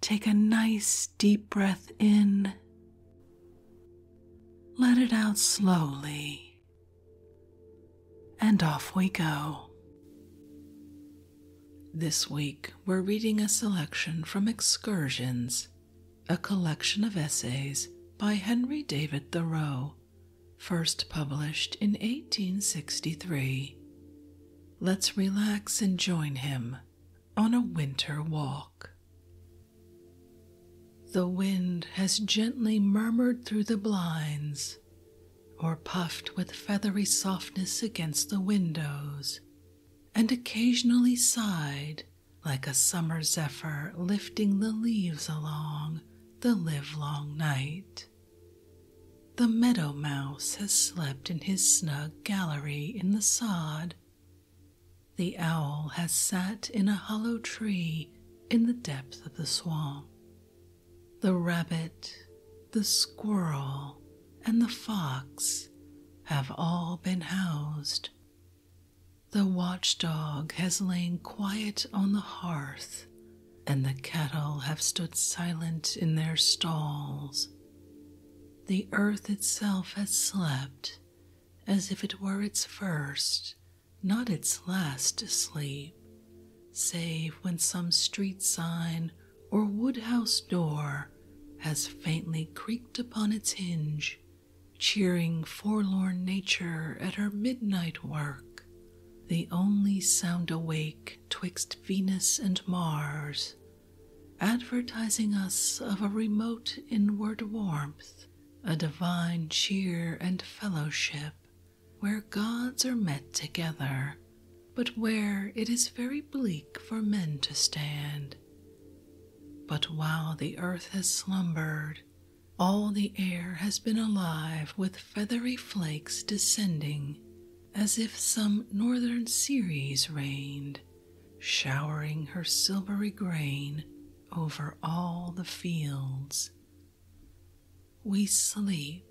Take a nice deep breath in. Let it out slowly. And off we go. This week, we're reading a selection from Excursions, a collection of essays by Henry David Thoreau, first published in 1863. Let's relax and join him on a winter walk. The wind has gently murmured through the blinds or puffed with feathery softness against the windows, and occasionally sighed like a summer zephyr lifting the leaves along the livelong night. The meadow mouse has slept in his snug gallery in the sod the owl has sat in a hollow tree in the depth of the swamp. The rabbit, the squirrel, and the fox have all been housed. The watch dog has lain quiet on the hearth, and the cattle have stood silent in their stalls the earth itself has slept as if it were its first, not its last sleep, save when some street sign or woodhouse door has faintly creaked upon its hinge, cheering forlorn nature at her midnight work. The only sound awake twixt Venus and Mars advertising us of a remote inward warmth, a divine cheer and fellowship where gods are met together, but where it is very bleak for men to stand. But while the earth has slumbered, all the air has been alive with feathery flakes descending as if some northern Ceres reigned, showering her silvery grain over all the fields. We sleep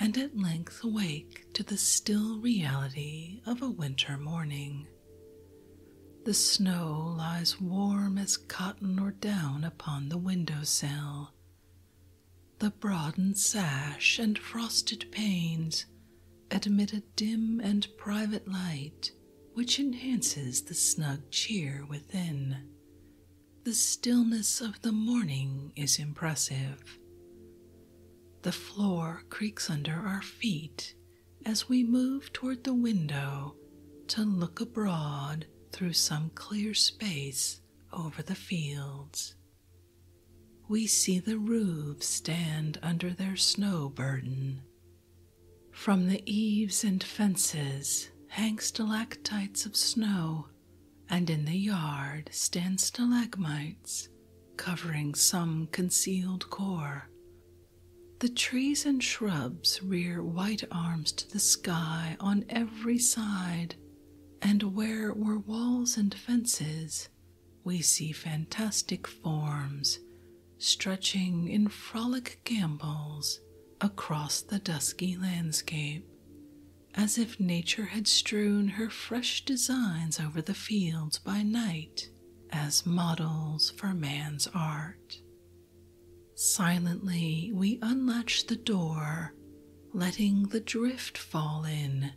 and at length wake to the still reality of a winter morning. The snow lies warm as cotton or down upon the window sill. The broadened sash and frosted panes admit a dim and private light which enhances the snug cheer within. The stillness of the morning is impressive. The floor creaks under our feet as we move toward the window to look abroad through some clear space over the fields. We see the roofs stand under their snow burden. From the eaves and fences hang stalactites of snow, and in the yard stand stalagmites covering some concealed core. The trees and shrubs rear white arms to the sky on every side, and where were walls and fences, we see fantastic forms stretching in frolic gambols across the dusky landscape, as if nature had strewn her fresh designs over the fields by night as models for man's art. Silently, we unlatch the door, letting the drift fall in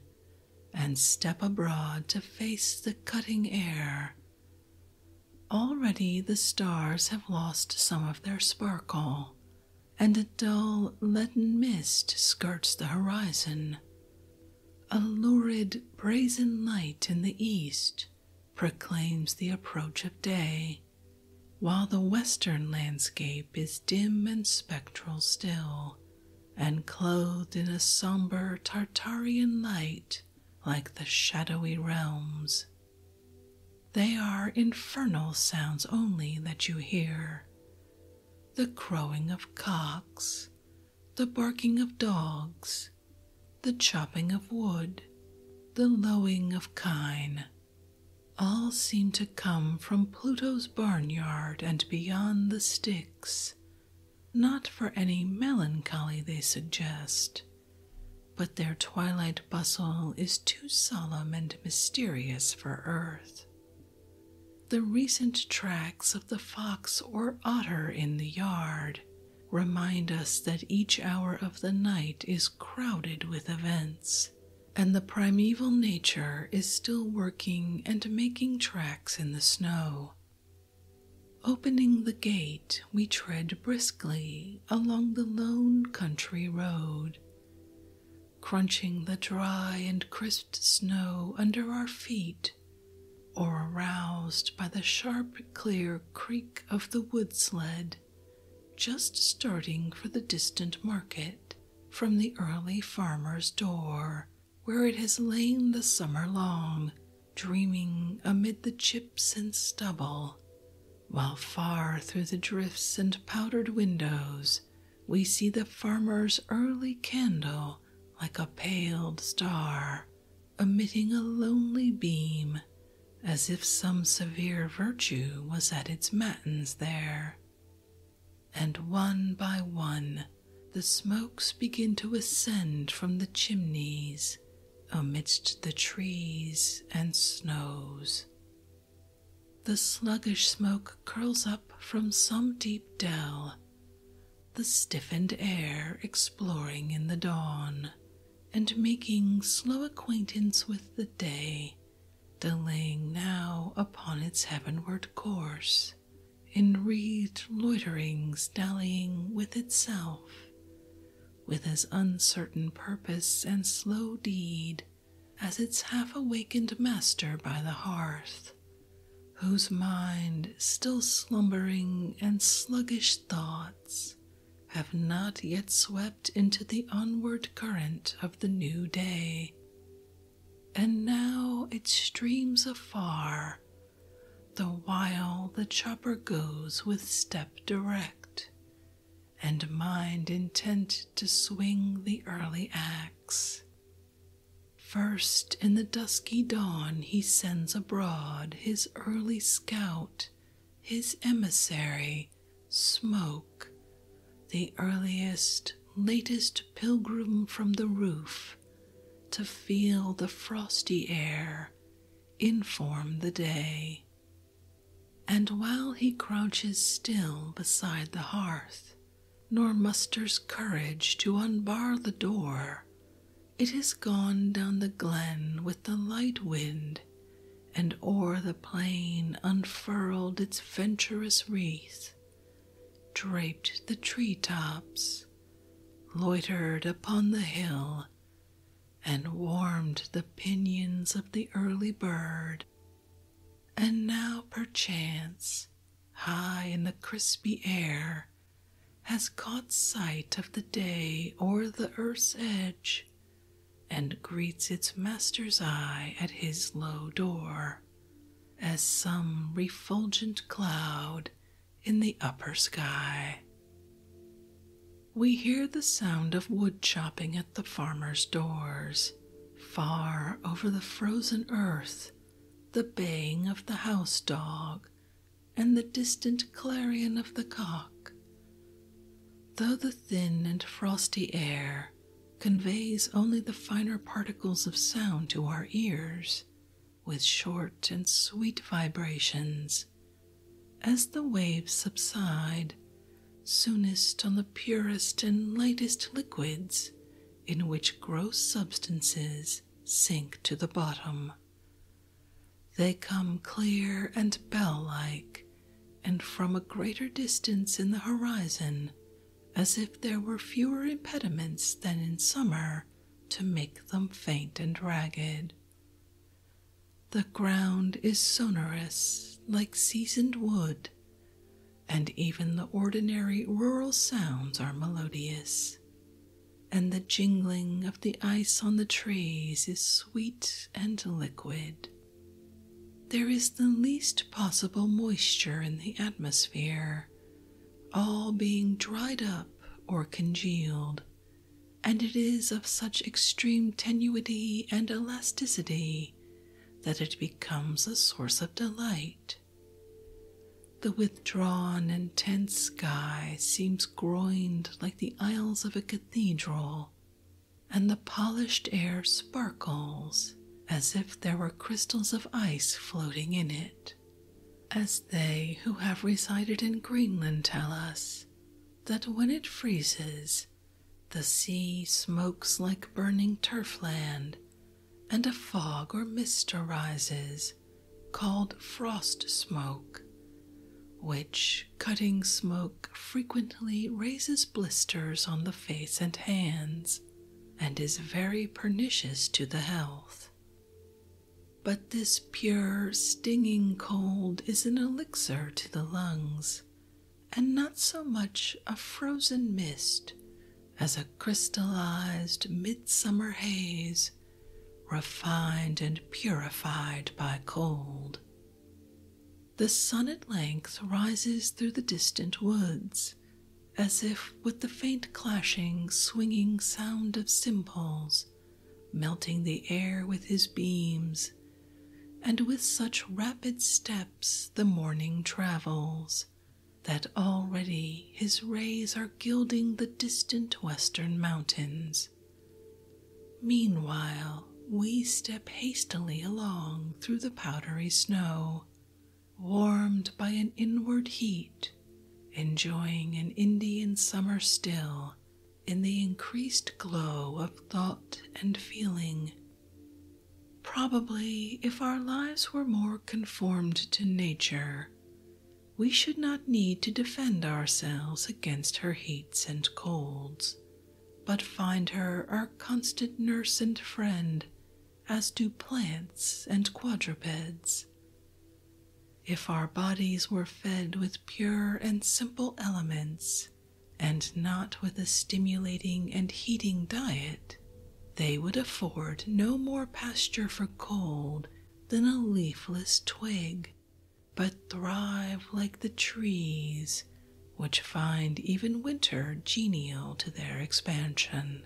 and step abroad to face the cutting air. Already the stars have lost some of their sparkle, and a dull leaden mist skirts the horizon. A lurid brazen light in the east proclaims the approach of day, while the western landscape is dim and spectral still, and clothed in a somber Tartarian light like the shadowy realms. They are infernal sounds only that you hear the crowing of cocks, the barking of dogs, the chopping of wood, the lowing of kine. All seem to come from Pluto's barnyard and beyond the Styx, not for any melancholy they suggest, but their twilight bustle is too solemn and mysterious for earth. The recent tracks of the fox or otter in the yard remind us that each hour of the night is crowded with events, and the primeval nature is still working and making tracks in the snow. Opening the gate, we tread briskly along the lone country road, crunching the dry and crisp snow under our feet or aroused by the sharp, clear creak of the wood sled just starting for the distant market from the early farmer's door where it has lain the summer long, dreaming amid the chips and stubble, while far through the drifts and powdered windows we see the farmer's early candle like a paled star, emitting a lonely beam. As if some severe virtue was at its matins there and one by one the smokes begin to ascend from the chimneys amidst the trees and snows. The sluggish smoke curls up from some deep dell, the stiffened air exploring in the dawn and making slow acquaintance with the day, delaying now upon its heavenward course. In read loiterings dallying with itself, with as uncertain purpose and slow deed as its half awakened master by the hearth, whose mind, still slumbering and sluggish thoughts, have not yet swept into the onward current of the new day, and now it streams afar, the while the chopper goes with step direct, and mind intent to swing the early axe. First in the dusky dawn he sends abroad his early scout, his emissary, Smoke, the earliest, latest pilgrim from the roof to feel the frosty air inform the day. And while he crouches still beside the hearth, nor musters courage to unbar the door, it is gone down the glen with the light wind, and o'er the plain unfurled its venturous wreath draped the tree tops, loitered upon the hill, and warmed the pinions of the early bird. And now, perchance, high in the crispy air, has caught sight of the day o'er the earth's edge, and greets its master's eye at his low door as some refulgent cloud in the upper sky. We hear the sound of wood chopping at the farmers' doors. Far over the frozen earth, the baying of the house dog and the distant clarion of the cock. Though the thin and frosty air conveys only the finer particles of sound to our ears, with short and sweet vibrations as the waves subside, soonest on the purest and lightest liquids in which gross substances sink to the bottom. They come clear and bell like, and from a greater distance in the horizon as if there were fewer impediments than in summer to make them faint and ragged. The ground is sonorous like seasoned wood, and even the ordinary rural sounds are melodious, and the jingling of the ice on the trees is sweet and liquid. There is the least possible moisture in the atmosphere, all being dried up or congealed, and it is of such extreme tenuity and elasticity that it becomes a source of delight. The withdrawn and tense sky seems groined like the aisles of a cathedral, and the polished air sparkles as if there were crystals of ice floating in it as they who have resided in Greenland tell us that when it freezes, the sea smokes like burning turf land, and a fog or mist arises called frost smoke, which cutting smoke frequently raises blisters on the face and hands and is very pernicious to the health. But this pure, stinging cold is an elixir to the lungs, and not so much a frozen mist as a crystallized midsummer haze, refined and purified by cold. The sun at length rises through the distant woods as if with the faint clashing, swinging sound of cymbals, melting the air with his beams, and with such rapid steps the morning travels, that already his rays are gilding the distant western mountains. Meanwhile, we step hastily along through the powdery snow, warmed by an inward heat, enjoying an Indian summer still in the increased glow of thought and feeling. Probably, if our lives were more conformed to nature, we should not need to defend ourselves against her heats and colds, but find her our constant nurse and friend as do plants and quadrupeds. If our bodies were fed with pure and simple elements, and not with a stimulating and heating diet, they would afford no more pasture for cold than a leafless twig, but thrive like the trees, which find even winter genial to their expansion.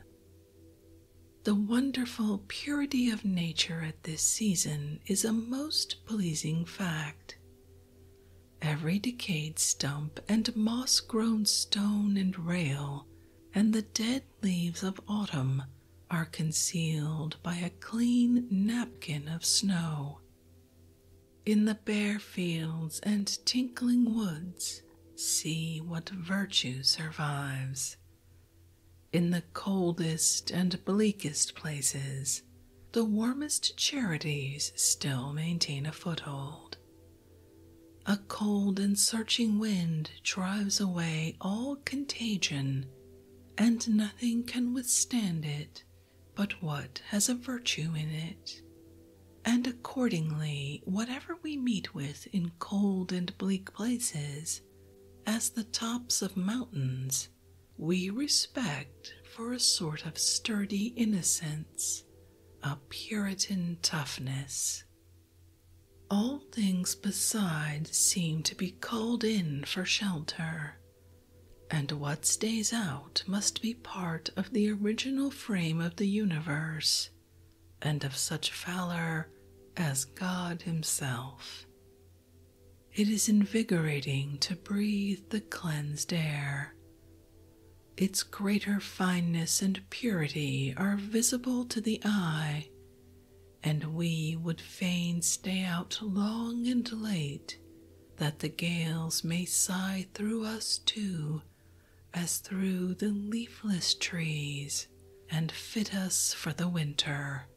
The wonderful purity of nature at this season is a most pleasing fact. Every decayed stump and moss grown stone and rail and the dead leaves of autumn are concealed by a clean napkin of snow. In the bare fields and tinkling woods, see what virtue survives. In the coldest and bleakest places, the warmest charities still maintain a foothold. A cold and searching wind drives away all contagion, and nothing can withstand it but what has a virtue in it. And accordingly, whatever we meet with in cold and bleak places, as the tops of mountains, we respect for a sort of sturdy innocence, a Puritan toughness. All things beside seem to be called in for shelter, and what stays out must be part of the original frame of the universe and of such valor as God Himself. It is invigorating to breathe the cleansed air. Its greater fineness and purity are visible to the eye, and we would fain stay out long and late that the gales may sigh through us too as through the leafless trees and fit us for the winter,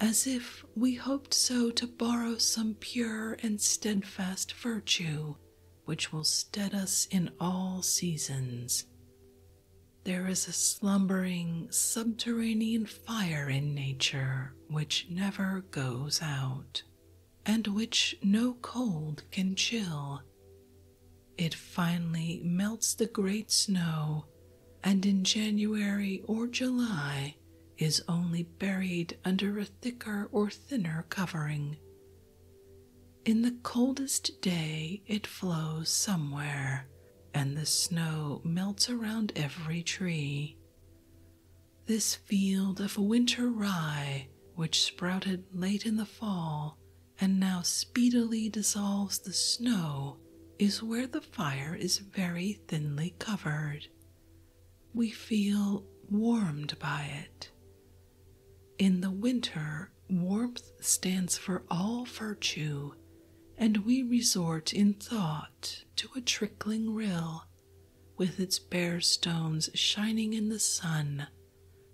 as if we hoped so to borrow some pure and steadfast virtue which will stead us in all seasons. There is a slumbering subterranean fire in nature which never goes out, and which no cold can chill. It finally melts the great snow, and in January or July is only buried under a thicker or thinner covering. In the coldest day, it flows somewhere, and the snow melts around every tree. This field of winter rye, which sprouted late in the fall, and now speedily dissolves the snow, is where the fire is very thinly covered. We feel warmed by it. In the winter, warmth stands for all virtue, and we resort in thought to a trickling rill with its bare stones shining in the sun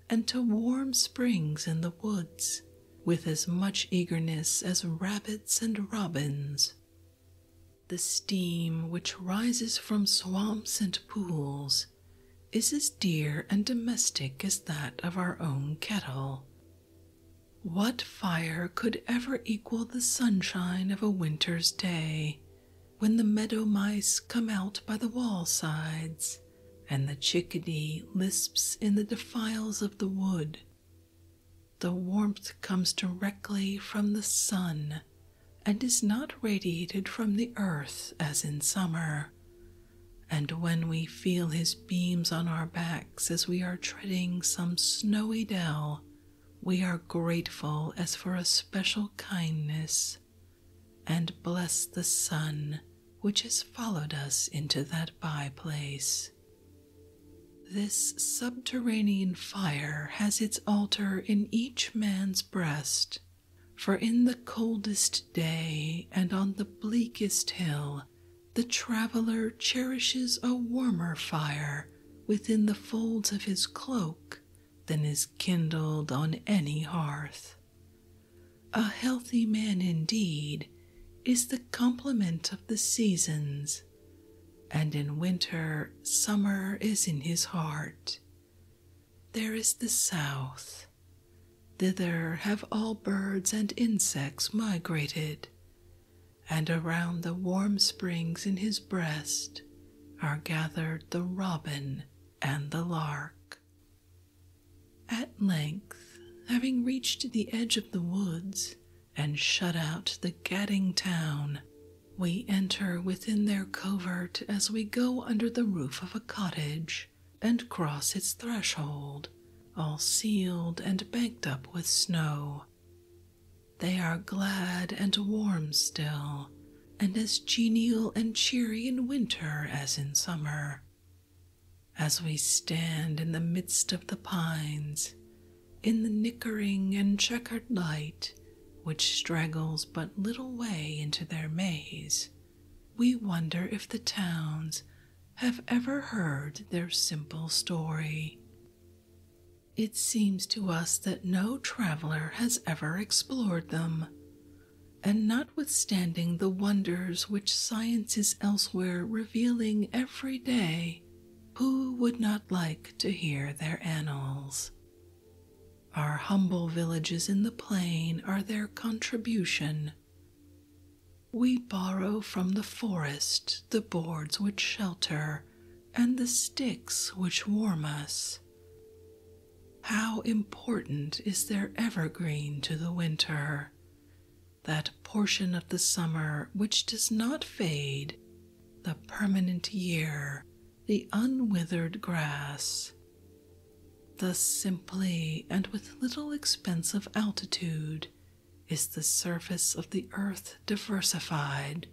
and to warm springs in the woods with as much eagerness as rabbits and robins. The steam which rises from swamps and pools is as dear and domestic as that of our own kettle. What fire could ever equal the sunshine of a winter's day when the meadow mice come out by the wall sides and the chickadee lisps in the defiles of the wood. The warmth comes directly from the sun and is not radiated from the earth as in summer. And when we feel his beams on our backs as we are treading some snowy dell, we are grateful as for a special kindness and bless the sun which has followed us into that by place. This subterranean fire has its altar in each man's breast, for in the coldest day and on the bleakest hill, the traveler cherishes a warmer fire within the folds of his cloak than is kindled on any hearth. A healthy man indeed is the complement of the seasons, and in winter, summer is in his heart. There is the south. Thither have all birds and insects migrated, and around the warm springs in his breast are gathered the robin and the lark. At length, having reached the edge of the woods and shut out the gadding town, we enter within their covert as we go under the roof of a cottage and cross its threshold, all sealed and banked up with snow. They are glad and warm still, and as genial and cheery in winter as in summer as we stand in the midst of the pines in the nickering and checkered light which straggles but little way into their maze, we wonder if the towns have ever heard their simple story. It seems to us that no traveler has ever explored them, and notwithstanding the wonders which science is elsewhere revealing every day, who would not like to hear their annals? Our humble villages in the plain are their contribution. We borrow from the forest the boards which shelter and the sticks which warm us. How important is their evergreen to the winter, that portion of the summer which does not fade, the permanent year, the unwithered grass. Thus simply and with little expense of altitude is the surface of the earth diversified.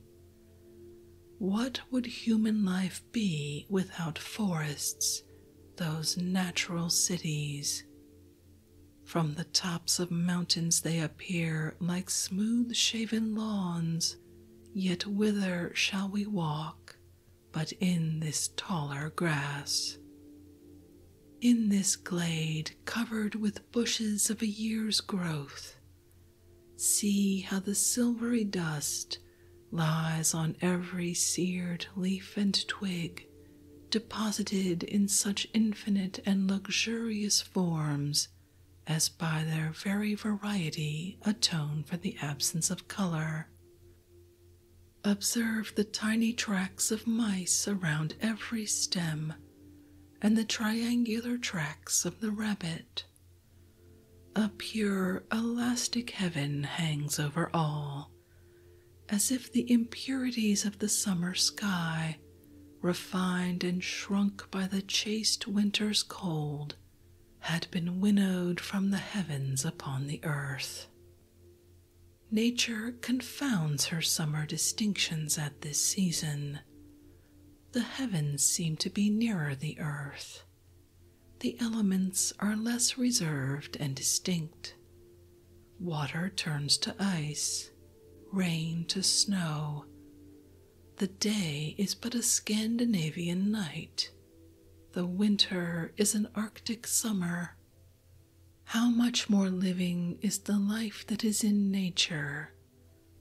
What would human life be without forests those natural cities. From the tops of mountains they appear like smooth shaven lawns, yet whither shall we walk but in this taller grass? In this glade covered with bushes of a year's growth, see how the silvery dust lies on every seared leaf and twig, deposited in such infinite and luxurious forms as by their very variety atone for the absence of color. Observe the tiny tracks of mice around every stem and the triangular tracks of the rabbit. A pure, elastic heaven hangs over all as if the impurities of the summer sky, refined and shrunk by the chaste winter's cold, had been winnowed from the heavens upon the earth. Nature confounds her summer distinctions at this season. The heavens seem to be nearer the earth, the elements are less reserved and distinct. Water turns to ice, rain to snow. The day is but a Scandinavian night. The winter is an Arctic summer. How much more living is the life that is in nature,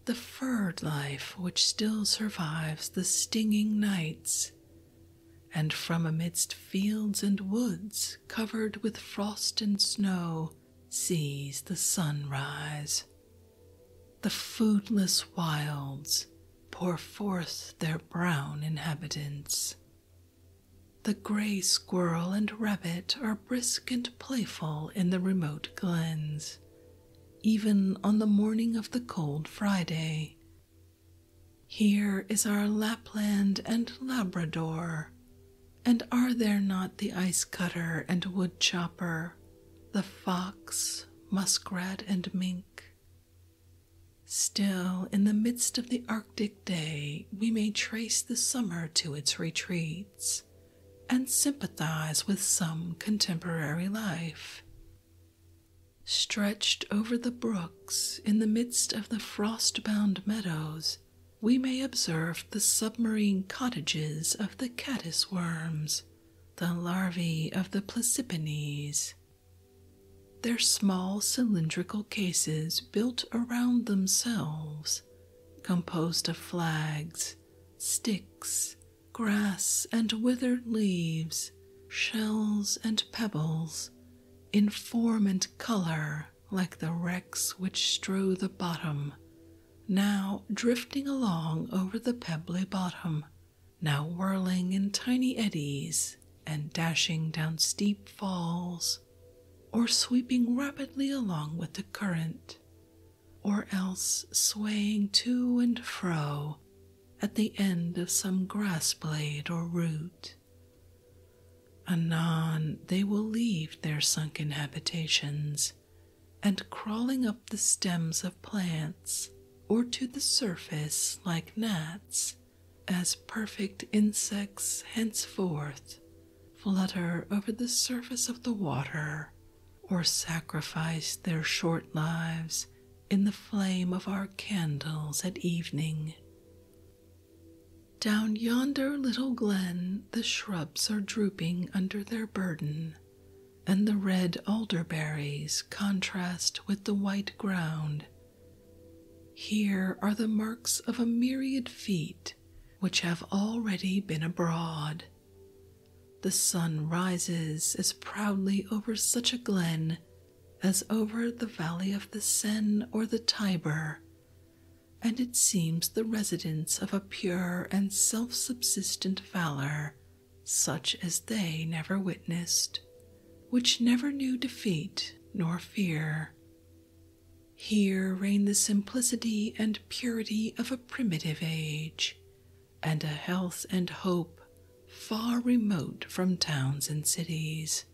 the furred life which still survives the stinging nights and from amidst fields and woods covered with frost and snow sees the sunrise. The foodless wilds pour forth their brown inhabitants. The gray squirrel and rabbit are brisk and playful in the remote glens. Even on the morning of the cold Friday, here is our Lapland and Labrador, and are there not the ice cutter and wood chopper, the fox, muskrat, and mink? Still, in the midst of the Arctic day, we may trace the summer to its retreats and sympathize with some contemporary life, Stretched over the brooks in the midst of the frost bound meadows, we may observe the submarine cottages of the caddis worms, the larvae of the Placipenes. Their small cylindrical cases built around themselves, composed of flags, sticks, grass, and withered leaves, shells and pebbles in form and color like the wrecks which strew the bottom, now drifting along over the pebbly bottom, now whirling in tiny eddies and dashing down steep falls, or sweeping rapidly along with the current, or else swaying to and fro at the end of some grass blade or root. Anon, they will leave their sunken habitations and crawling up the stems of plants or to the surface like gnats, as perfect insects henceforth flutter over the surface of the water or sacrifice their short lives in the flame of our candles at evening. Down yonder little glen, the shrubs are drooping under their burden, and the red alder berries contrast with the white ground. Here are the marks of a myriad feet which have already been abroad. The sun rises as proudly over such a glen as over the valley of the Seine or the Tiber, and it seems the residence of a pure and self subsistent valor, such as they never witnessed, which never knew defeat nor fear. Here reign the simplicity and purity of a primitive age, and a health and hope far remote from towns and cities.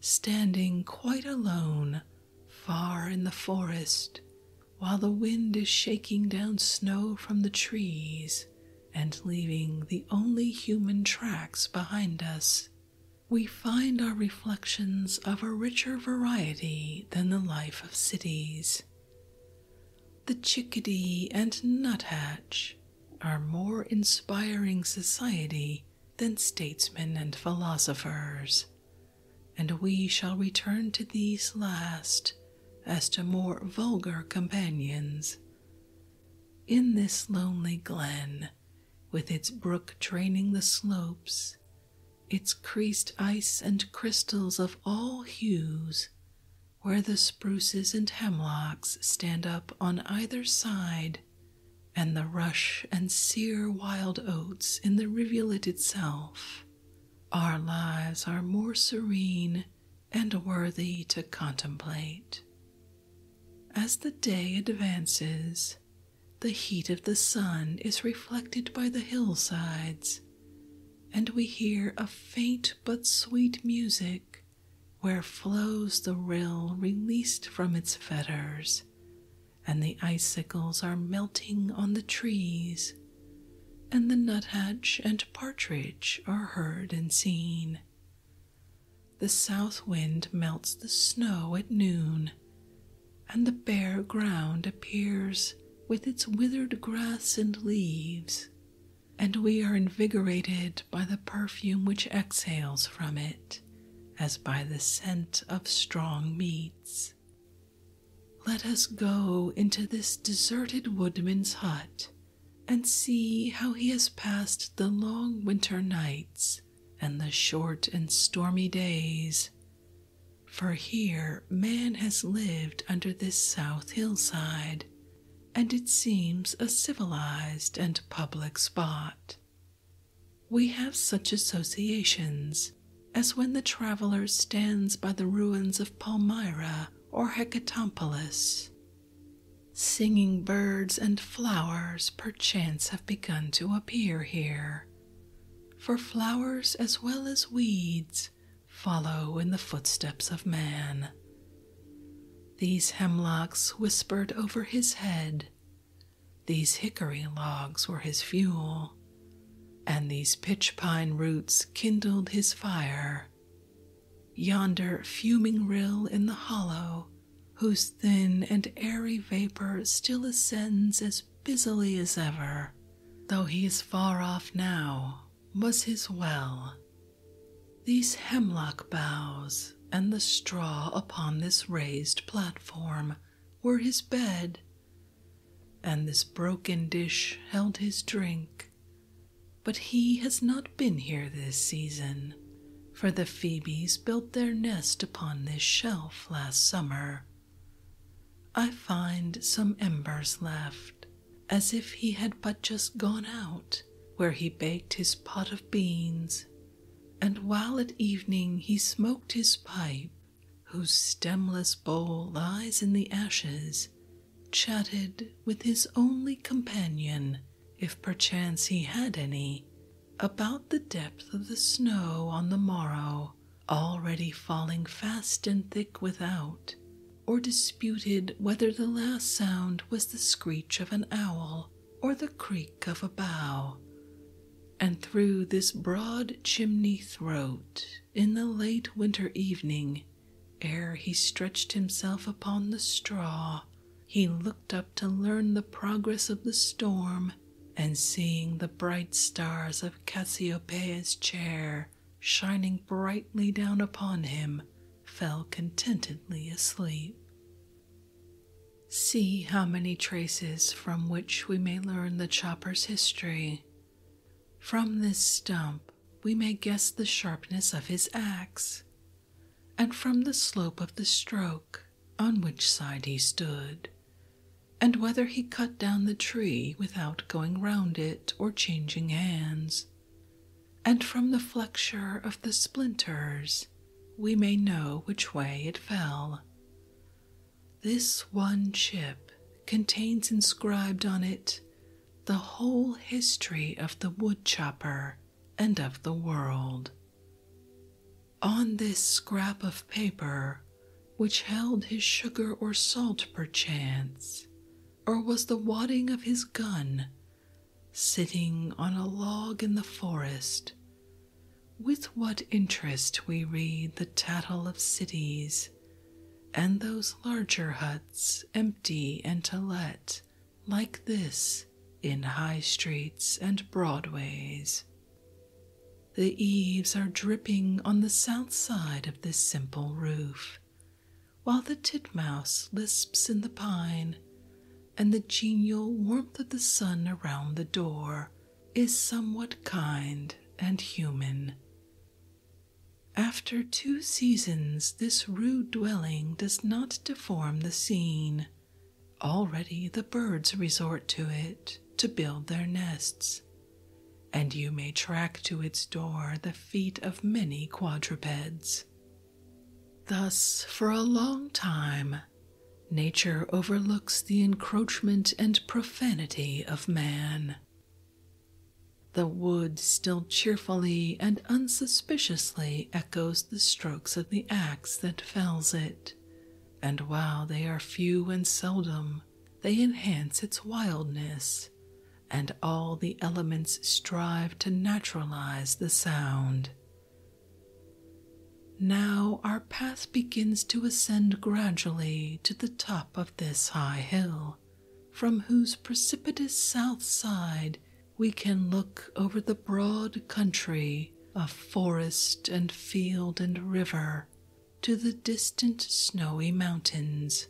Standing quite alone, far in the forest, while the wind is shaking down snow from the trees and leaving the only human tracks behind us, we find our reflections of a richer variety than the life of cities. The chickadee and nuthatch are more inspiring society than statesmen and philosophers, and we shall return to these last as to more vulgar companions. In this lonely glen, with its brook draining the slopes, its creased ice and crystals of all hues, where the spruces and hemlocks stand up on either side, and the rush and sear wild oats in the rivulet itself, our lives are more serene and worthy to contemplate. As the day advances, the heat of the sun is reflected by the hillsides, and we hear a faint but sweet music where flows the rill released from its fetters, and the icicles are melting on the trees, and the nuthatch and partridge are heard and seen. The south wind melts the snow at noon, and the bare ground appears with its withered grass and leaves, and we are invigorated by the perfume which exhales from it as by the scent of strong meats. Let us go into this deserted woodman's hut and see how he has passed the long winter nights and the short and stormy days. For here man has lived under this south hillside and it seems a civilized and public spot. We have such associations as when the traveler stands by the ruins of Palmyra or Hecatompolis. Singing birds and flowers perchance have begun to appear here, for flowers as well as weeds follow in the footsteps of man, these hemlocks whispered over his head, these hickory logs were his fuel, and these pitch pine roots kindled his fire. Yonder fuming rill in the hollow, whose thin and airy vapor still ascends as busily as ever, though he is far off now, was his well, these hemlock boughs and the straw upon this raised platform were his bed, and this broken dish held his drink. But he has not been here this season, for the Phoebes built their nest upon this shelf last summer. I find some embers left, as if he had but just gone out, where he baked his pot of beans, and while at evening he smoked his pipe, whose stemless bowl lies in the ashes, chatted with his only companion, if perchance he had any, about the depth of the snow on the morrow, already falling fast and thick without, or disputed whether the last sound was the screech of an owl or the creak of a bough. And through this broad chimney throat, in the late winter evening, ere he stretched himself upon the straw, he looked up to learn the progress of the storm, and seeing the bright stars of Cassiopeia's chair, shining brightly down upon him, fell contentedly asleep. See how many traces from which we may learn the chopper's history. From this stump, we may guess the sharpness of his axe, and from the slope of the stroke, on which side he stood, and whether he cut down the tree without going round it or changing hands, and from the flexure of the splinters we may know which way it fell. This one chip contains inscribed on it the whole history of the woodchopper and of the world. On this scrap of paper, which held his sugar or salt perchance, or was the wadding of his gun sitting on a log in the forest, with what interest we read the tattle of cities and those larger huts empty and to let, like this, in high streets and broadways. The eaves are dripping on the south side of this simple roof while the titmouse lisps in the pine, and the genial warmth of the sun around the door is somewhat kind and human. After two seasons, this rude dwelling does not deform the scene. Already the birds resort to it to build their nests, and you may track to its door the feet of many quadrupeds. Thus, for a long time, nature overlooks the encroachment and profanity of man. The wood still cheerfully and unsuspiciously echoes the strokes of the axe that fells it, and while they are few and seldom, they enhance its wildness and all the elements strive to naturalize the sound. Now our path begins to ascend gradually to the top of this high hill, from whose precipitous south side we can look over the broad country of forest and field and river to the distant snowy mountains.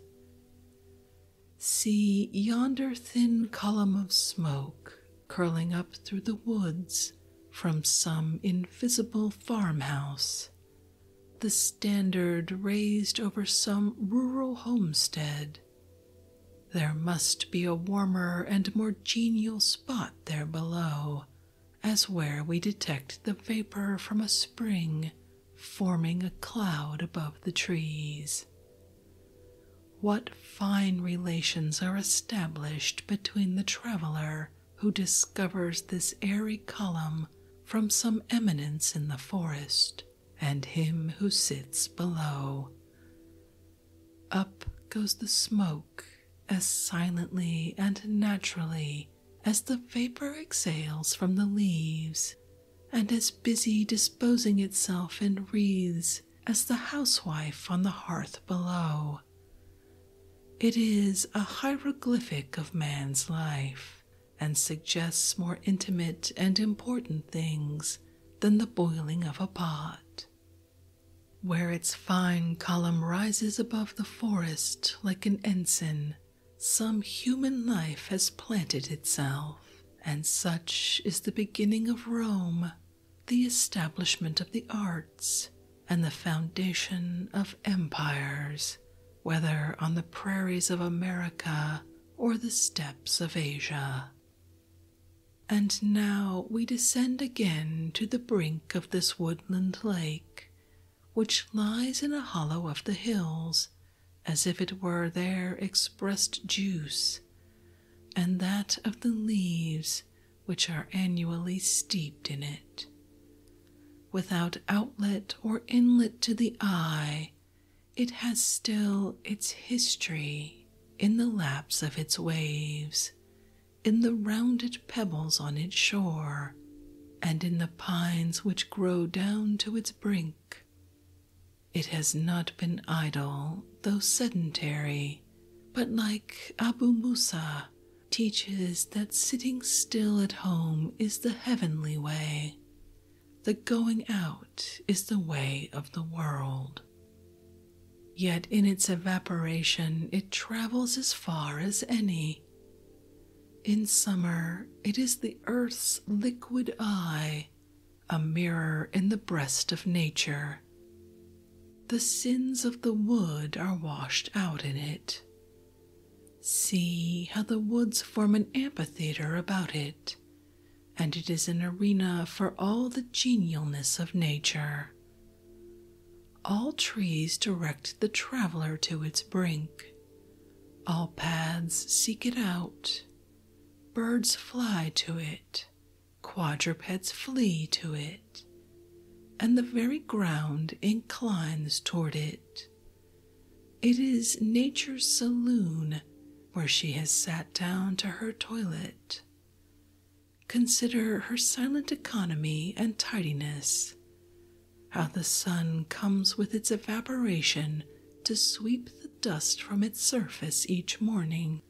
See yonder thin column of smoke curling up through the woods from some invisible farmhouse, the standard raised over some rural homestead. There must be a warmer and more genial spot there below, as where we detect the vapor from a spring forming a cloud above the trees. What fine relations are established between the traveler who discovers this airy column from some eminence in the forest and him who sits below. Up goes the smoke as silently and naturally as the vapor exhales from the leaves and as busy disposing itself in wreaths as the housewife on the hearth below. It is a hieroglyphic of man's life and suggests more intimate and important things than the boiling of a pot. Where its fine column rises above the forest like an ensign, some human life has planted itself. And such is the beginning of Rome, the establishment of the arts, and the foundation of empires, whether on the prairies of America or the steppes of Asia. And now we descend again to the brink of this woodland lake, which lies in a hollow of the hills as if it were their expressed juice, and that of the leaves which are annually steeped in it. Without outlet or inlet to the eye, it has still its history in the laps of its waves, in the rounded pebbles on its shore, and in the pines which grow down to its brink. It has not been idle, though sedentary, but like Abu Musa, teaches that sitting still at home is the heavenly way. The going out is the way of the world. Yet in its evaporation it travels as far as any. In summer it is the earth's liquid eye, a mirror in the breast of nature. The sins of the wood are washed out in it. See how the woods form an amphitheater about it, and it is an arena for all the genialness of nature. All trees direct the traveler to its brink, all paths seek it out, Birds fly to it, quadrupeds flee to it, and the very ground inclines toward it. It is nature's saloon where she has sat down to her toilet. Consider her silent economy and tidiness, how the sun comes with its evaporation to sweep the dust from its surface each morning,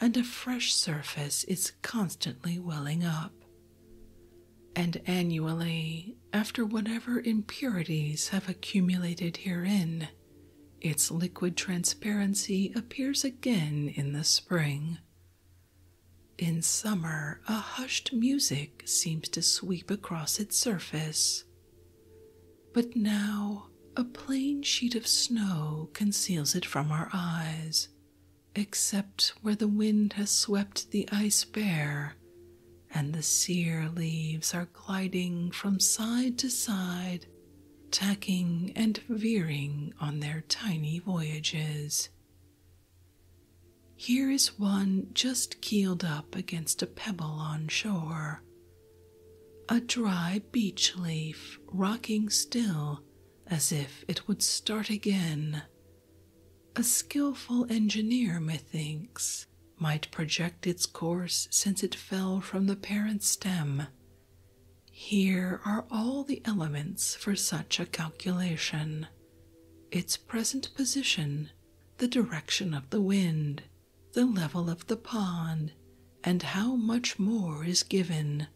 and a fresh surface is constantly welling up. And annually, after whatever impurities have accumulated herein, its liquid transparency appears again in the spring. In summer, a hushed music seems to sweep across its surface. But now a plain sheet of snow conceals it from our eyes, except where the wind has swept the ice bare and the sear leaves are gliding from side to side, tacking and veering on their tiny voyages. Here is one just keeled up against a pebble on shore, a dry beech leaf rocking still as if it would start again. A skilful engineer, methinks, might project its course since it fell from the parent stem. Here are all the elements for such a calculation its present position, the direction of the wind, the level of the pond, and how much more is given.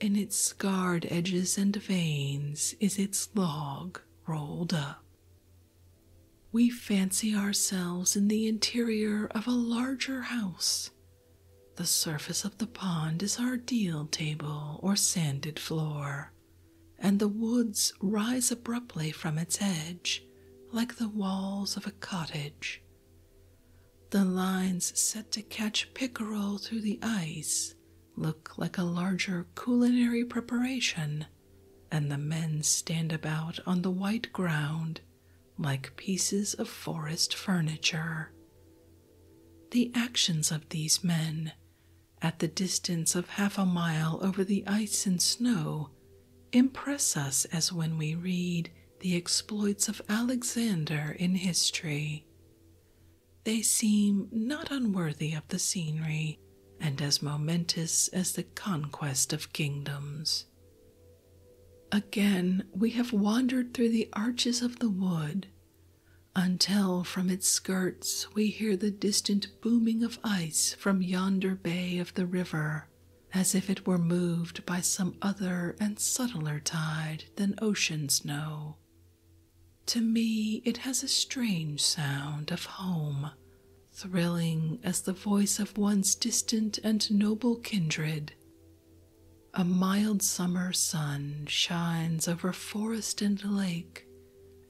In its scarred edges and veins is its log rolled up. We fancy ourselves in the interior of a larger house. The surface of the pond is our deal table or sanded floor, and the woods rise abruptly from its edge like the walls of a cottage, the lines set to catch pickerel through the ice look like a larger culinary preparation, and the men stand about on the white ground like pieces of forest furniture. The actions of these men, at the distance of half a mile over the ice and snow, impress us as when we read the exploits of Alexander in history. They seem not unworthy of the scenery and as momentous as the conquest of kingdoms. Again, we have wandered through the arches of the wood until from its skirts we hear the distant booming of ice from yonder bay of the river as if it were moved by some other and subtler tide than oceans know, To me, it has a strange sound of home, thrilling as the voice of one's distant and noble kindred. A mild summer sun shines over forest and lake,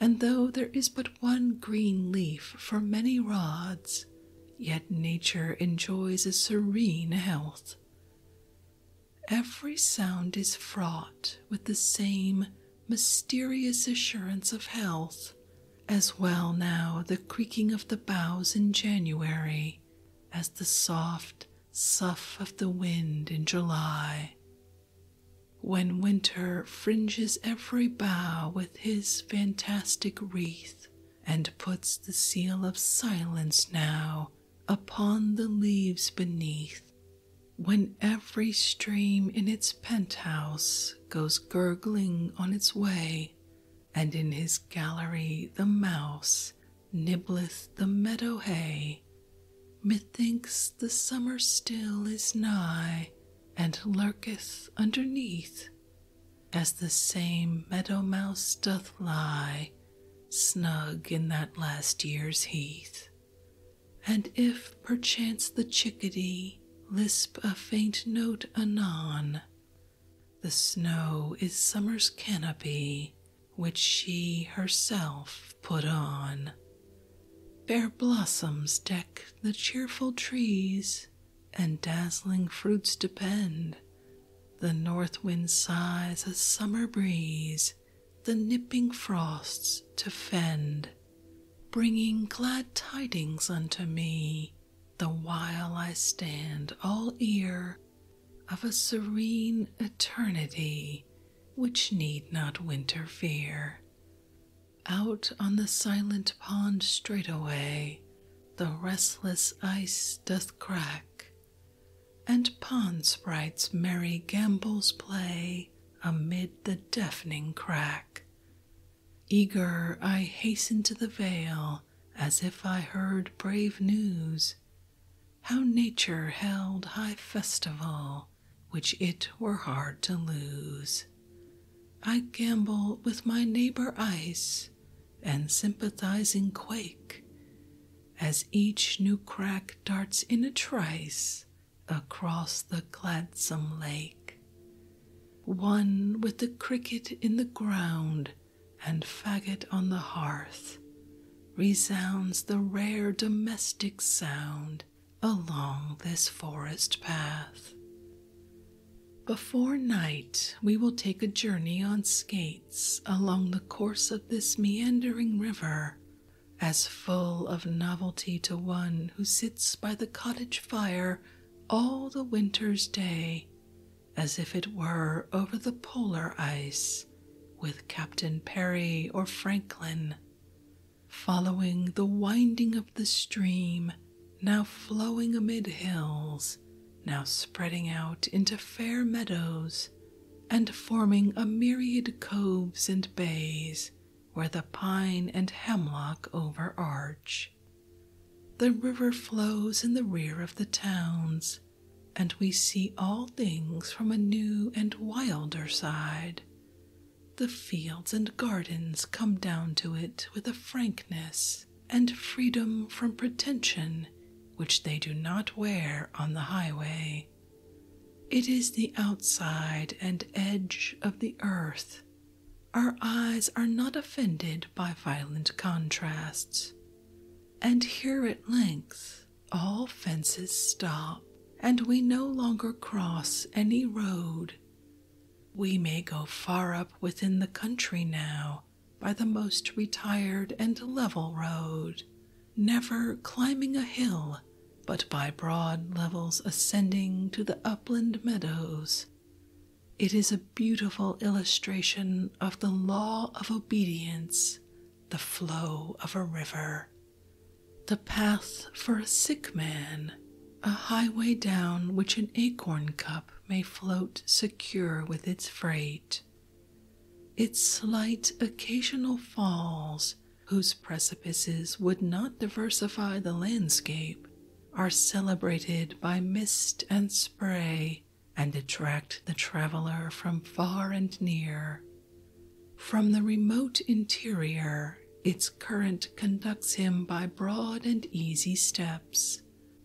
and though there is but one green leaf for many rods, yet nature enjoys a serene health. Every sound is fraught with the same mysterious assurance of health, as well now the creaking of the boughs in January as the soft sough of the wind in July. When winter fringes every bough with his fantastic wreath and puts the seal of silence now upon the leaves beneath. When every stream in its penthouse goes gurgling on its way, and in his gallery the mouse nibbleth the meadow hay, methinks the summer still is nigh and lurketh underneath, as the same meadow mouse doth lie snug in that last year's heath. And if perchance the chickadee lisp a faint note anon, the snow is summer's canopy, which she herself put on. Fair blossoms deck the cheerful trees, and dazzling fruits depend. The north wind sighs a summer breeze, the nipping frosts to fend, bringing glad tidings unto me, the while I stand all ear of a serene eternity which need not winter fear. Out on the silent pond straightway, the restless ice doth crack, and pond sprites' merry gambols play amid the deafening crack. Eager I hasten to the vale, as if I heard brave news. How nature held high festival, which it were hard to lose. I gamble with my neighbor ice and sympathizing quake as each new crack darts in a trice across the gladsome lake. One with the cricket in the ground and faggot on the hearth resounds the rare domestic sound along this forest path. Before night, we will take a journey on skates along the course of this meandering river, as full of novelty to one who sits by the cottage fire all the winter's day, as if it were over the polar ice with Captain Perry or Franklin, following the winding of the stream, now flowing amid hills, now spreading out into fair meadows, and forming a myriad coves and bays where the pine and hemlock overarch. The river flows in the rear of the towns, and we see all things from a new and wilder side, the fields and gardens come down to it with a frankness and freedom from pretension which they do not wear on the highway. It is the outside and edge of the earth. Our eyes are not offended by violent contrasts. And here at length, all fences stop, and we no longer cross any road we may go far up within the country now by the most retired and level road, never climbing a hill, but by broad levels ascending to the upland meadows. It is a beautiful illustration of the law of obedience, the flow of a river. The path for a sick man a highway down which an acorn cup may float secure with its freight. Its slight occasional falls, whose precipices would not diversify the landscape, are celebrated by mist and spray and attract the traveler from far and near. From the remote interior, its current conducts him by broad and easy steps,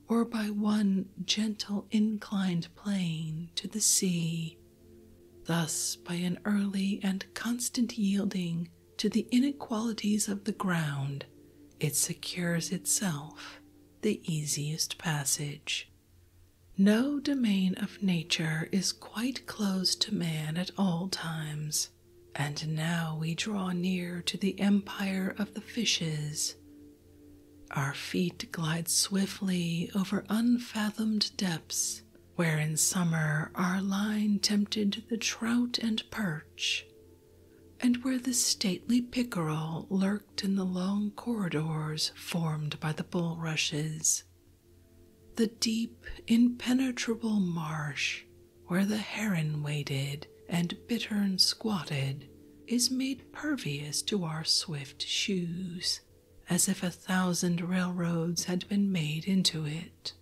or by one gentle inclined plane to the sea. Thus, by an early and constant yielding to the inequalities of the ground, it secures itself the easiest passage. No domain of nature is quite closed to man at all times, and now we draw near to the empire of the fishes. Our feet glide swiftly over unfathomed depths, where in summer our line tempted the trout and perch, and where the stately pickerel lurked in the long corridors formed by the bulrushes. The deep, impenetrable marsh where the heron waded and bittern squatted, is made pervious to our swift shoes, as if a thousand railroads had been made into it.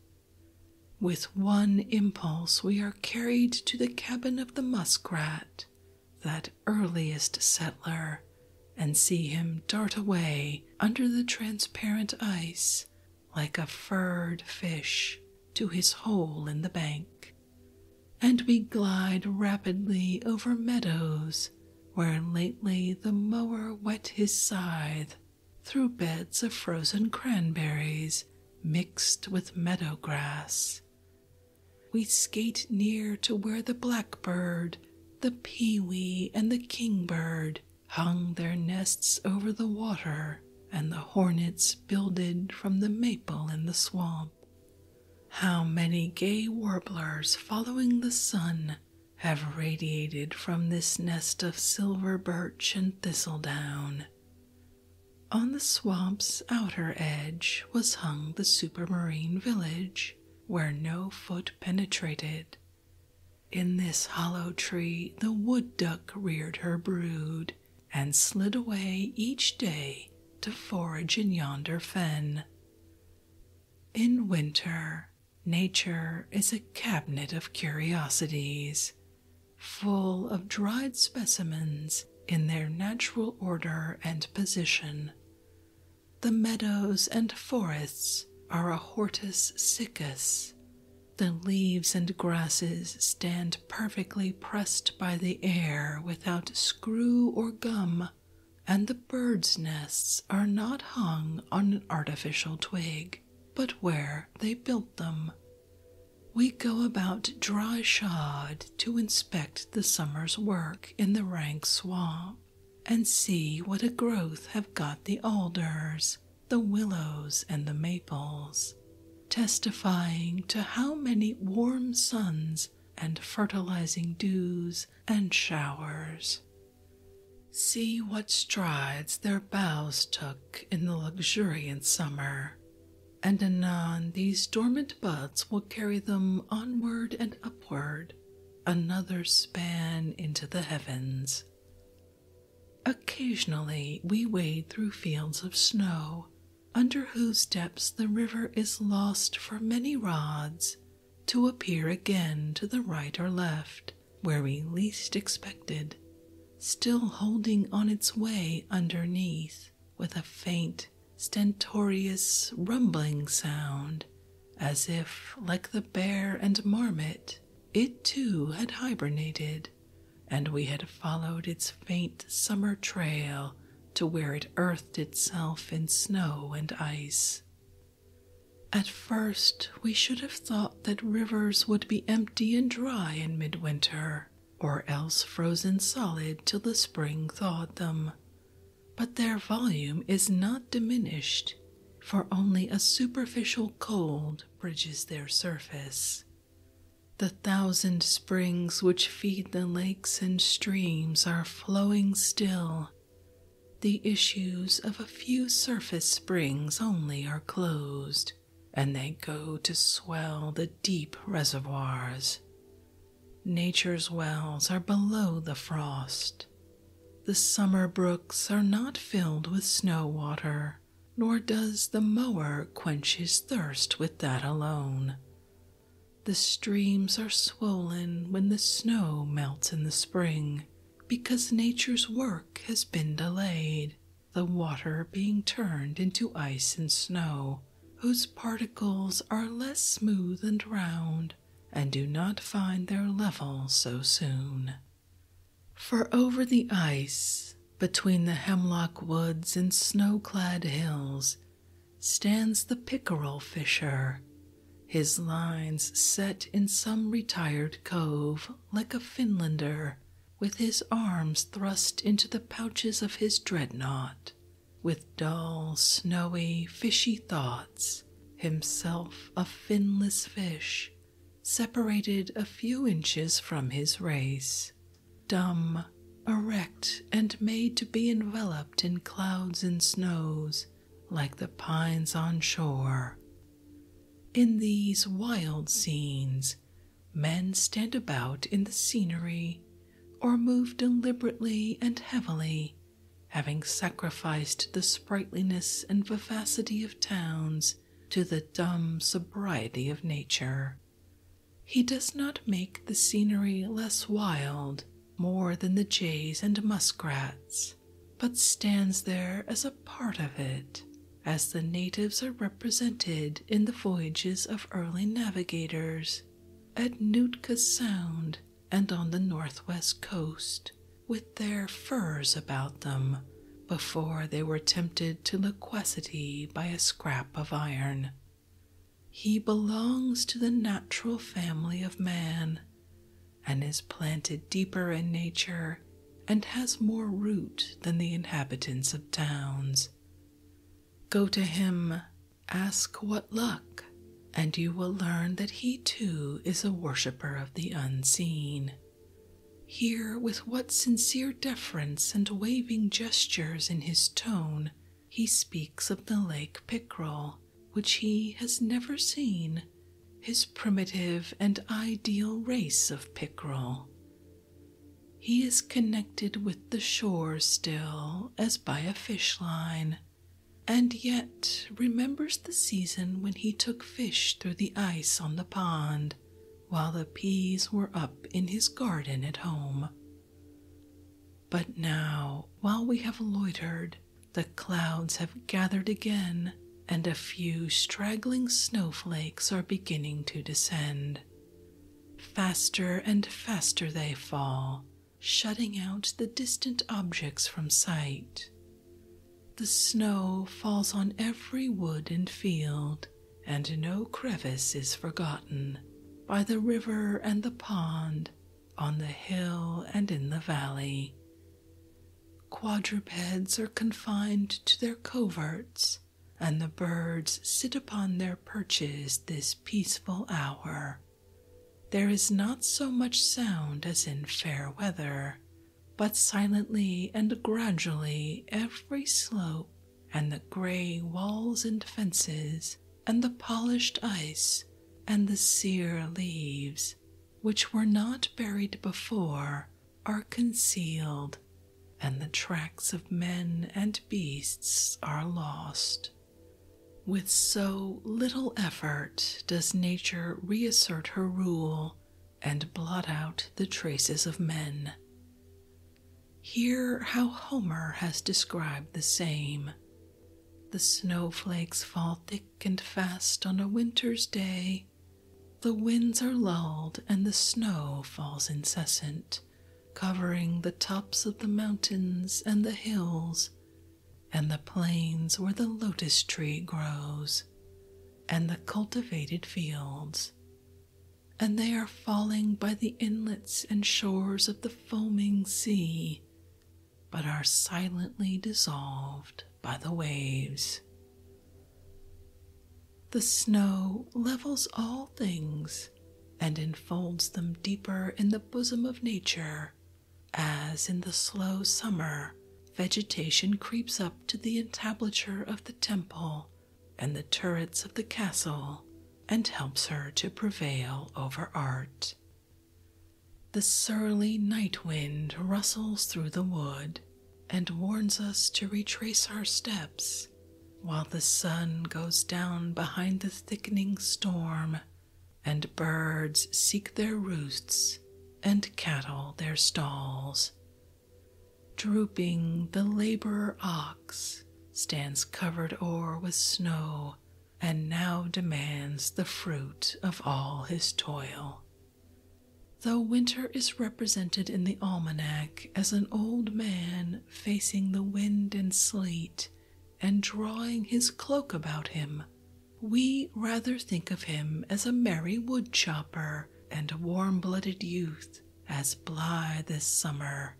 With one impulse, we are carried to the cabin of the muskrat, that earliest settler, and see him dart away under the transparent ice like a furred fish to his hole in the bank, and we glide rapidly over meadows where lately the mower wet his scythe through beds of frozen cranberries mixed with meadow grass. We skate near to where the blackbird, the pewee, and the kingbird hung their nests over the water, and the hornets builded from the maple in the swamp. How many gay warblers following the sun have radiated from this nest of silver birch and thistledown. On the swamp's outer edge was hung the supermarine village, where no foot penetrated. In this hollow tree, the wood duck reared her brood and slid away each day to forage in yonder fen. In winter, nature is a cabinet of curiosities, full of dried specimens in their natural order and position. The meadows and forests are a hortus siccus, the leaves and grasses stand perfectly pressed by the air without screw or gum, and the birds' nests are not hung on an artificial twig, but where they built them. We go about dry shod to inspect the summer's work in the rank swamp and see what a growth have got the alders the willows and the maples, testifying to how many warm suns and fertilizing dews and showers. See what strides their boughs took in the luxuriant summer, and anon these dormant buds will carry them onward and upward, another span into the heavens, Occasionally, we wade through fields of snow, under whose depths the river is lost for many rods, to appear again to the right or left, where we least expected, still holding on its way underneath with a faint, stentorious, rumbling sound, as if, like the bear and marmot, it too had hibernated and we had followed its faint summer trail to where it earthed itself in snow and ice. At first, we should have thought that rivers would be empty and dry in midwinter, or else frozen solid till the spring thawed them. But their volume is not diminished, for only a superficial cold bridges their surface. The thousand springs which feed the lakes and streams are flowing still. The issues of a few surface springs only are closed, and they go to swell the deep reservoirs. Nature's wells are below the frost. The summer brooks are not filled with snow water nor does the mower quench his thirst with that alone. The streams are swollen when the snow melts in the spring, because nature's work has been delayed, the water being turned into ice and snow, whose particles are less smooth and round and do not find their level so soon. For over the ice, between the hemlock woods and snow clad hills, stands the pickerel fisher, his lines set in some retired cove like a Finlander, with his arms thrust into the pouches of his dreadnought, with dull, snowy, fishy thoughts, himself a finless fish separated a few inches from his race, dumb, erect, and made to be enveloped in clouds and snows like the pines on shore. In these wild scenes, men stand about in the scenery or move deliberately and heavily, having sacrificed the sprightliness and vivacity of towns to the dumb sobriety of nature. He does not make the scenery less wild more than the jays and muskrats, but stands there as a part of it, as the natives are represented in the voyages of early navigators at Nootka Sound and on the northwest coast, with their furs about them before they were tempted to loquacity by a scrap of iron. He belongs to the natural family of man and is planted deeper in nature and has more root than the inhabitants of towns. Go to him, ask what luck, and you will learn that he too is a worshipper of the unseen. Here, with what sincere deference and waving gestures in his tone, he speaks of the lake pickerel, which he has never seen, his primitive and ideal race of pickerel. He is connected with the shore still as by a fish line, and yet remembers the season when he took fish through the ice on the pond while the peas were up in his garden at home. But now, while we have loitered, the clouds have gathered again, and a few straggling snowflakes are beginning to descend. Faster and faster they fall, shutting out the distant objects from sight, the snow falls on every wood and field, and no crevice is forgotten by the river and the pond, on the hill and in the valley. Quadrupeds are confined to their coverts, and the birds sit upon their perches this peaceful hour. There is not so much sound as in fair weather, but silently and gradually, every slope and the gray walls and fences, and the polished ice and the sere leaves, which were not buried before, are concealed, and the tracks of men and beasts are lost. With so little effort does nature reassert her rule and blot out the traces of men. Hear how Homer has described the same. The snowflakes fall thick and fast on a winter's day. The winds are lulled and the snow falls incessant, covering the tops of the mountains and the hills and the plains where the lotus tree grows and the cultivated fields, and they are falling by the inlets and shores of the foaming sea, but are silently dissolved by the waves. The snow levels all things and enfolds them deeper in the bosom of nature, as in the slow summer vegetation creeps up to the entablature of the temple and the turrets of the castle and helps her to prevail over art. The surly night wind rustles through the wood and warns us to retrace our steps while the sun goes down behind the thickening storm and birds seek their roosts and cattle their stalls Drooping, the laborer ox stands covered o'er with snow, and now demands the fruit of all his toil. Though winter is represented in the almanac as an old man facing the wind and sleet and drawing his cloak about him, we rather think of him as a merry woodchopper and warm blooded youth as blithe as summer.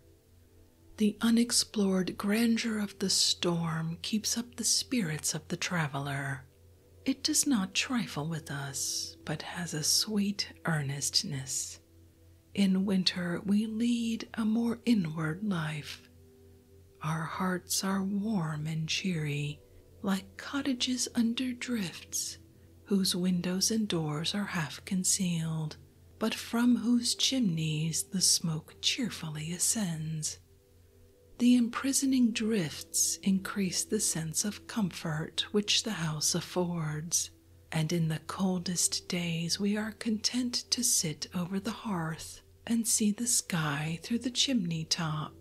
The unexplored grandeur of the storm keeps up the spirits of the traveler. It does not trifle with us, but has a sweet earnestness. In winter, we lead a more inward life. Our hearts are warm and cheery, like cottages under drifts, whose windows and doors are half concealed, but from whose chimneys the smoke cheerfully ascends. The imprisoning drifts increase the sense of comfort which the house affords, and in the coldest days we are content to sit over the hearth and see the sky through the chimney top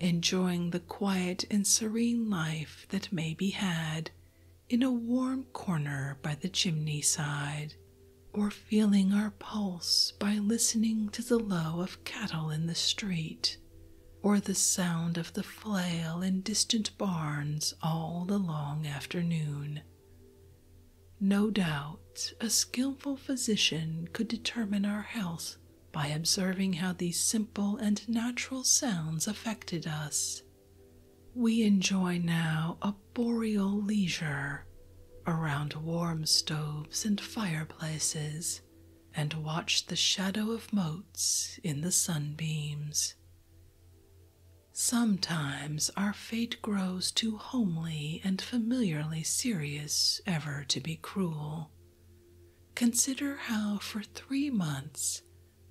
enjoying the quiet and serene life that may be had in a warm corner by the chimney side, or feeling our pulse by listening to the low of cattle in the street, or the sound of the flail in distant barns all the long afternoon. No doubt a skilful physician could determine our health by observing how these simple and natural sounds affected us. We enjoy now a boreal leisure around warm stoves and fireplaces and watch the shadow of motes in the sunbeams. Sometimes our fate grows too homely and familiarly serious ever to be cruel. Consider how, for three months,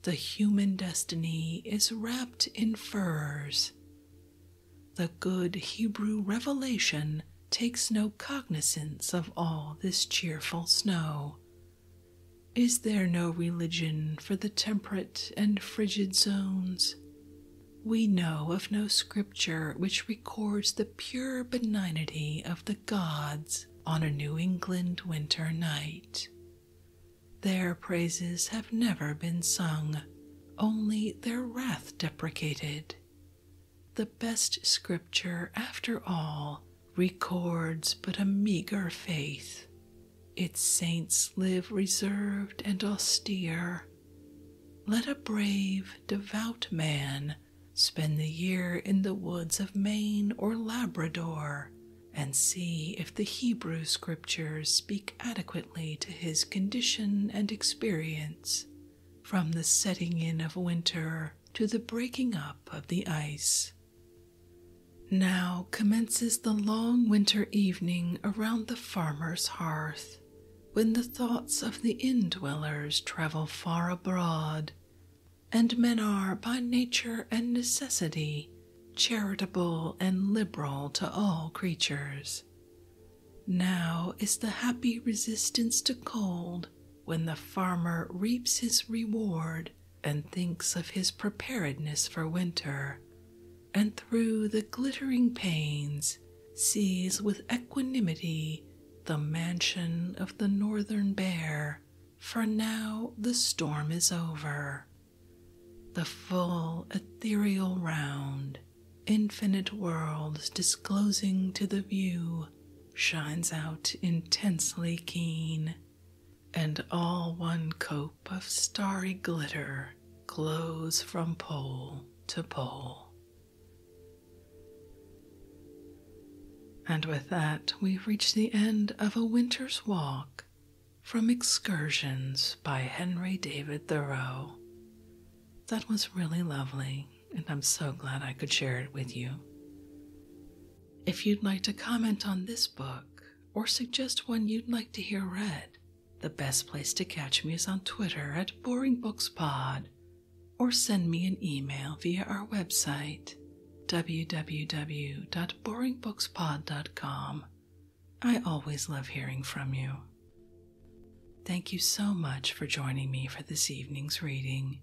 the human destiny is wrapped in furs. The good Hebrew revelation takes no cognizance of all this cheerful snow. Is there no religion for the temperate and frigid zones? We know of no scripture which records the pure benignity of the gods on a New England winter night. Their praises have never been sung, only their wrath deprecated. The best scripture, after all, records but a meagre faith. Its saints live reserved and austere. Let a brave, devout man Spend the year in the woods of Maine or Labrador and see if the Hebrew scriptures speak adequately to his condition and experience from the setting in of winter to the breaking up of the ice. Now commences the long winter evening around the farmer's hearth, when the thoughts of the inn dwellers travel far abroad and men are by nature and necessity charitable and liberal to all creatures. Now is the happy resistance to cold when the farmer reaps his reward and thinks of his preparedness for winter, and through the glittering panes sees with equanimity the mansion of the northern bear, for now the storm is over. The full ethereal round, infinite worlds disclosing to the view, shines out intensely keen, and all one cope of starry glitter glows from pole to pole. And with that, we reach the end of A Winter's Walk from Excursions by Henry David Thoreau. That was really lovely, and I'm so glad I could share it with you. If you'd like to comment on this book or suggest one you'd like to hear read, the best place to catch me is on Twitter at BoringBooksPod or send me an email via our website www.boringbookspod.com. I always love hearing from you. Thank you so much for joining me for this evening's reading.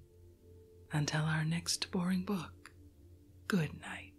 Until our next boring book, good night.